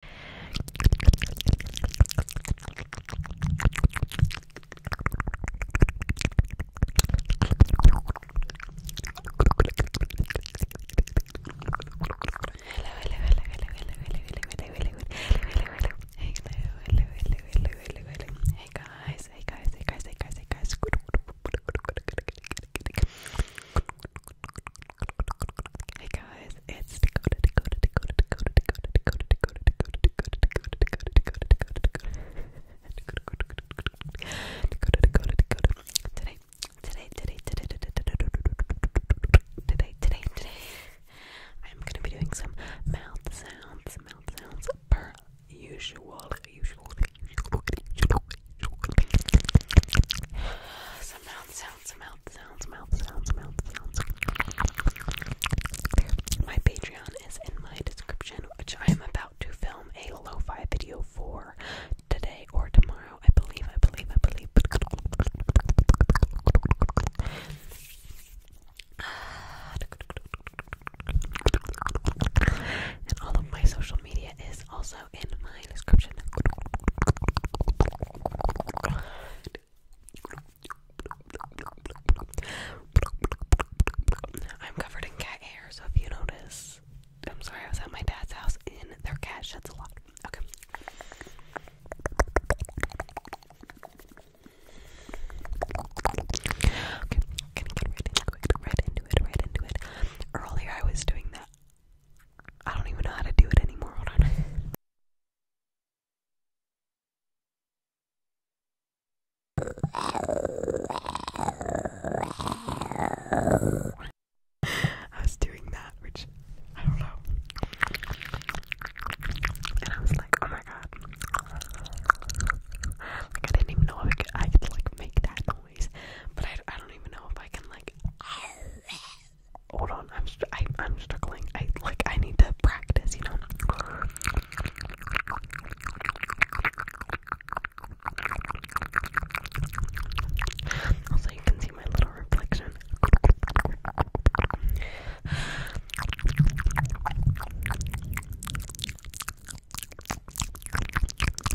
Hey guys, hey guys, hey guys, hey guys, hey guys. Hey guys, it's Dakota, Dakota, Dakota, Dakota, Dakota, Dakota, Dakota, Dakota, Dakota, Today, today, today, today, today, today, today, I'm gonna be doing some mouth sounds, mouth sounds per usual, usual, some mouth sounds. My Patreon is in my description, which I am about to film a lo-fi video for today or tomorrow. I believe, I believe, I believe. And all of my social media is also in my description. I'm covered in cat hair, so if you notice, I'm sorry, I was at my dad's house and their cat sheds a lot. Okay. Okay, I'm gonna get right into it, right into it, right into it. Earlier I was doing that I don't even know how to do it anymore. Hold on. I was doing that, which I don't know. And I was like, oh my god. I didn't even know if I could like, make that noise. But I, I don't even know if I can, like. Hold on, I'm st I, am i i am struggling. I like I need to practice, you know. Also, you can see my little reflection.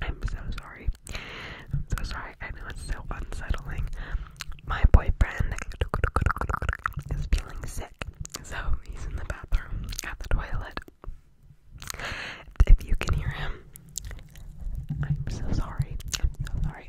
I'm so sorry. I'm so sorry. I know it's so unsettling. My boyfriend is feeling sick, so he's in the bathroom at the toilet. If you can hear him, I'm so sorry. I'm so sorry.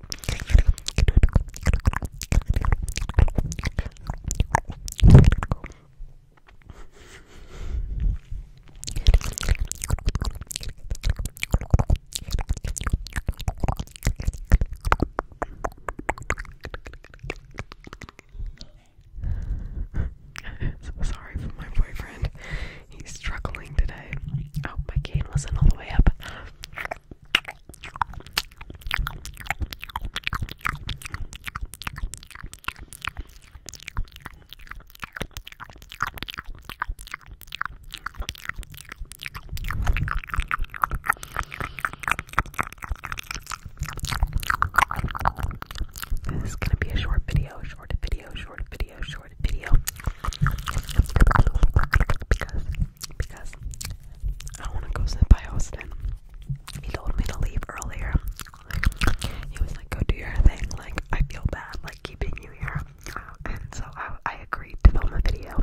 so sorry for my boyfriend. He's struggling today. Oh, my cane wasn't all the way up. This is gonna be a short video, short video, short video, short video. Because because I want to go sit by Austin. He told me to leave earlier. He was like, "Go do your thing." Like I feel bad, like keeping you here, and so I, I agreed to film a video.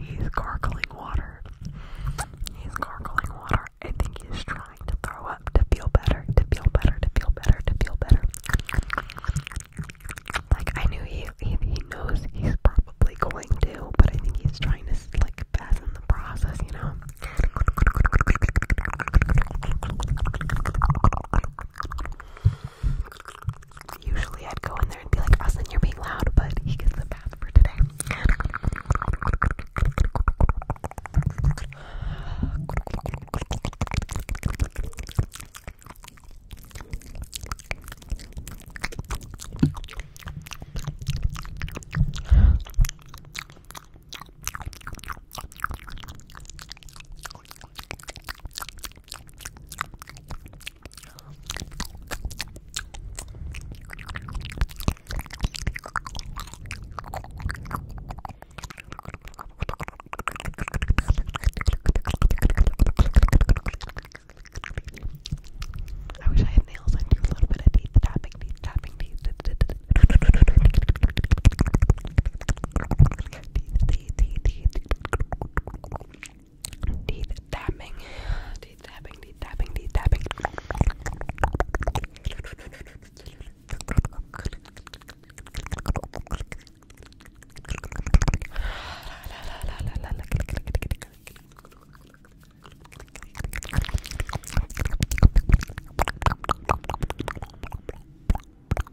He's gargling water. He's gargling water. I think he's trying to throw up to feel better, to feel better, to feel better, to feel better. Like I knew he he, he knows he's probably going to, but I think he's trying to like fasten the process, you know. Usually I'd go in there and be like, Austin, you're being loud, but he gets the bath for today. I wish I had nails. I do a little bit of teeth tapping, teeth tapping, teeth. teeth, teeth, teeth, teeth. Teeth tapping, teeth tapping, teeth tapping, teeth tapping.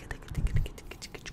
되게 되게 되게 되게 되게 되게